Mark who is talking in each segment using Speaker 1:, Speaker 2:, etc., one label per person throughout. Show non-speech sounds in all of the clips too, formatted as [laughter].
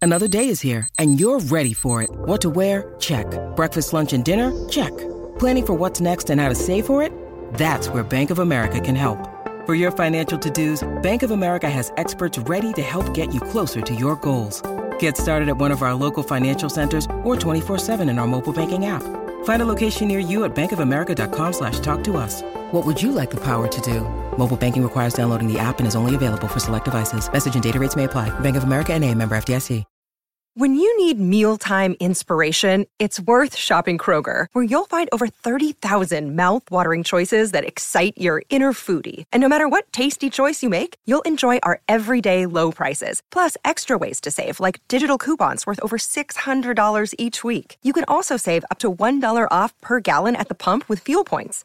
Speaker 1: Another day is here, and you're ready for it. What to wear? Check. Breakfast, lunch, and dinner? Check. Planning for what's next and how to save for it? That's where Bank of America can help. For your financial to-dos, Bank of America has experts ready to help get you closer to your goals. Get started at one of our local financial centers or 24-7 in our mobile banking app. Find a location near you at bankofamerica.com slash talk to us. What would you like the power to do? Mobile banking requires downloading the app and is only available for select devices. Message and data rates may apply. Bank of America and a member FDIC. When you need mealtime inspiration, it's worth shopping Kroger, where you'll find over 30,000 thousand mouth-watering choices that excite your inner foodie. And no matter what tasty choice you make, you'll enjoy our everyday low prices, plus extra ways to save, like digital coupons worth over $600 each week. You can also save up to $1 off per gallon at the pump with fuel points.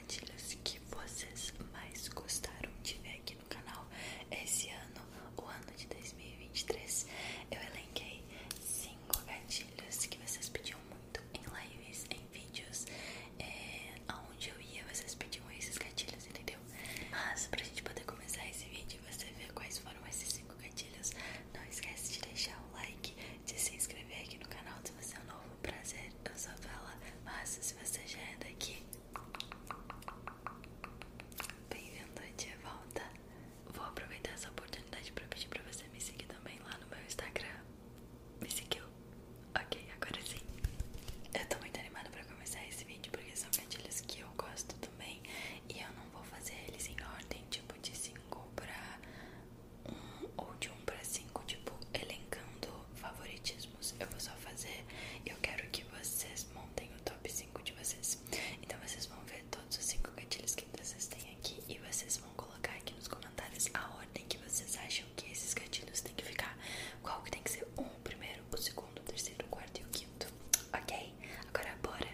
Speaker 1: trocadilhos que vocês mais gostaram de ver aqui no canal esse ano, o ano de 2023. Eu elenquei cinco gatilhos que vocês pediam muito em lives, em vídeos, é, aonde eu ia, vocês pediam esses gatilhos, entendeu? Mas pra gente poder começar esse vídeo e você ver quais foram esses cinco gatilhos, não esquece de deixar o like, de se inscrever aqui no canal se você é novo, prazer, eu sou a mas se você já é daqui, Bem-vindo de volta. Vou aproveitar essa oportunidade para pedir para você me seguir também lá no meu Instagram. Me seguiu? Ok, agora sim. Eu tô muito animada para começar esse vídeo porque são gatilhos que eu gosto também e eu não vou fazer eles em ordem tipo de 5 para 1 um, ou de 1 um para 5, tipo elencando favoritismos eu vou só fazer eu quero que vocês montem o top 5 de vocês. Então vocês vão ver todos os 5 gatilhos que vocês têm aqui e vocês vão colocar aqui nos comentários a ordem que vocês acham que esses gatilhos têm que ficar. Qual que tem que ser um, o primeiro, o segundo, o terceiro, o quarto e o quinto. Ok? Agora bora!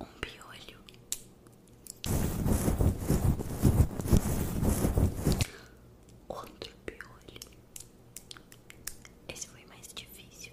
Speaker 1: Um piolho, outro piolho. Esse foi mais difícil.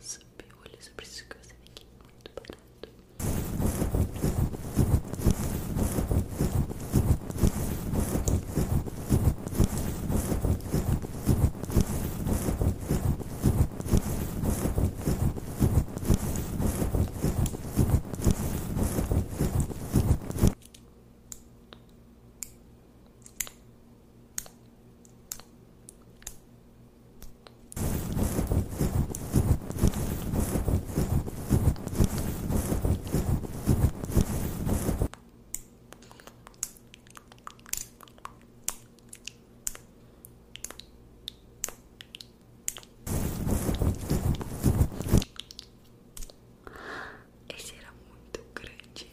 Speaker 1: sob o olho, sobre isso que você vê aqui, muito barato. Muito esse era muito grande.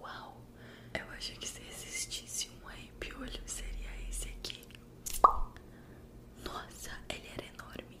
Speaker 1: Uau, eu acho que se existisse um olho seria esse aqui. Nossa, ele era enorme.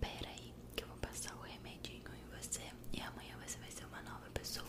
Speaker 1: Pera aí, que eu vou passar o remedinho em você e amanhã você vai ser uma nova pessoa.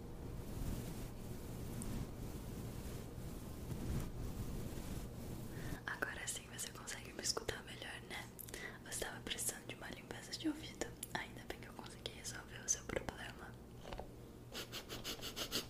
Speaker 1: Agora sim você consegue me escutar melhor, né? Você estava precisando de uma limpeza de ouvido. Ainda bem que eu consegui resolver o seu problema. [laughs]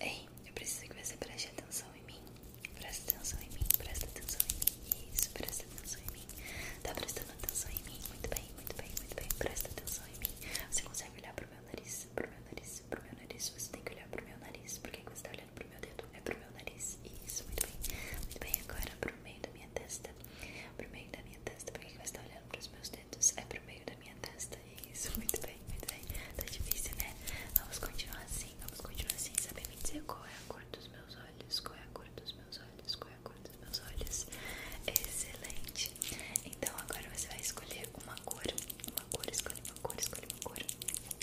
Speaker 1: Ei, é, eu preciso que você preste atenção em mim. Presta atenção em mim, presta atenção em mim. Isso, presta atenção em mim. Tá prestando atenção em mim? Muito bem, muito bem, muito bem. Presta atenção em mim. Você consegue olhar pro meu nariz, pro meu nariz, pro meu nariz. Você tem que olhar pro meu nariz. Por que você tá olhando pro meu dedo? É pro meu nariz. Isso, muito bem. Muito bem, agora pro meio da minha testa. Pro meio da minha testa. Por que você tá olhando pros meus dedos? é pro meio da minha testa. É isso, [laughs] muito bem, muito bem. Tá difícil, né? Vamos continuar assim, vamos continuar assim. Saber me dizer qual é a cor dos meus olhos, qual é a cor dos meus olhos, qual é a cor dos meus olhos. Excelente. Então agora você vai escolher uma cor. Uma cor, escolhe uma cor, escolhe uma cor.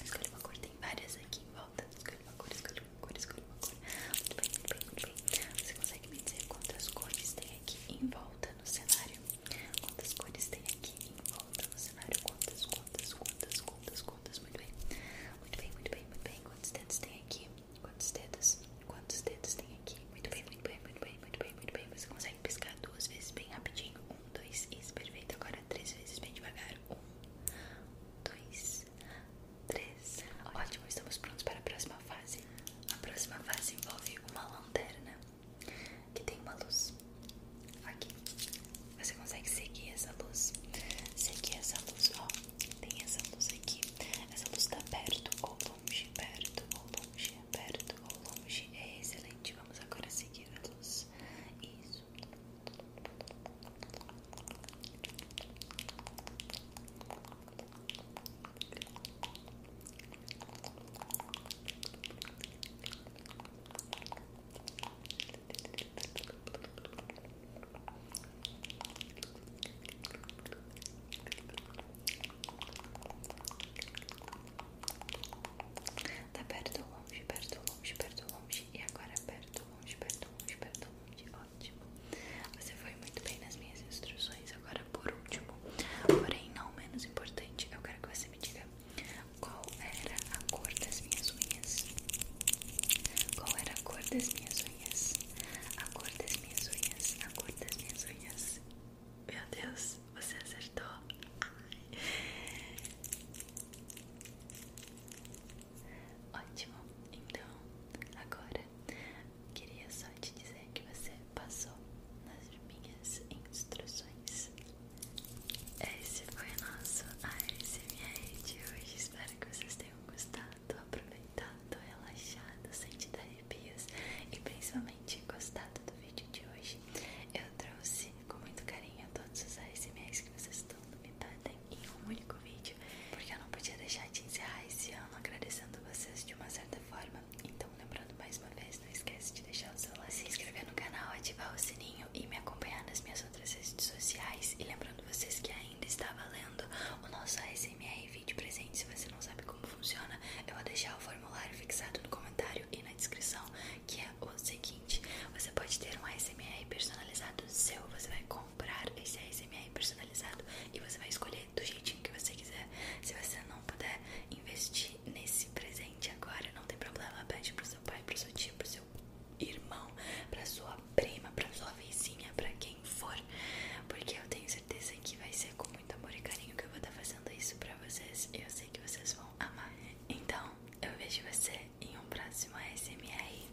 Speaker 1: Escolhe uma cor, tem várias aqui em volta. Escolhe uma cor, escolhe uma cor, escolhe uma cor. Muito bem, muito bem, muito bem. Você consegue me dizer quantas cores tem aqui em volta no cenário? Quantas cores tem aqui em volta no cenário? Quantas, quantas, quantas, quantas, quantas? Muito bem, muito bem, muito bem, muito bem. Quantos dedos tem aqui? Quantos dedos? Quantos dedos tem aqui? Muito bem, muito bem, muito bem, muito bem, Você consegue pescar duas vezes bem rapidinho. Um, dois, isso, perfeito. Agora três vezes bem devagar. Um, dois, três. Ótimo, estamos prontos para a próxima fase. A próxima fase envolve uma lanterna que tem uma luz aqui. Você consegue seguir essa luz? Seguir essa luz, ó. Tem essa luz aqui. Essa luz está perto ou longe, perto ou longe, perto ou longe. É excelente. Vamos agora seguir a luz. Isso. Tá perto ou longe, perto longe, perto longe E agora perto ou longe, perto longe, perto longe Ótimo Você foi muito bem nas minhas instruções, agora por último, porém não menos importante, eu quero que você me diga qual era a cor das minhas unhas. Qual era a cor das minhas unhas? A cor das minhas unhas, a cor das minhas unhas. Meu Deus, você acertou. Ai. Ótimo, então agora queria só te dizer que você passou nas minhas instruções. Esse foi o nosso ASMR de hoje. Espero que vocês tenham gostado, aproveitado, relaxado, sentido arrepios e principalmente gostado do vídeo de hoje. Eu trouxe com muito carinho todos os ASMRs que vocês tanto me pedem em um único vídeo, porque eu não podia deixar de encerrar esse ano agradecendo vocês de uma certa forma. Então, lembrando mais uma vez, não esquece de deixar o seu like, se inscrever no canal, ativar o sininho e me acompanhar nas minhas outras redes sociais. E lembrando vocês que ainda está valendo o nosso ASMR vídeo presente. Se você não sabe como funciona, eu vou deixar o formulário fixado no comentário e na descrição, que é o seguinte: você pode ter um ASMR personalizado seu, você vai comprar esse ASMR personalizado e você vai escolher do jeitinho que você quiser. Se você não puder investir nesse presente agora, não tem problema, pede pro seu pai, pro seu tio, pro seu irmão, pra sua prima, pra sua vizinha, pra quem for, porque eu tenho certeza que vai ser com muito amor e carinho que eu vou estar fazendo isso pra vocês e eu sei que vocês vão amar. Então, eu vejo você em um próximo ASMR.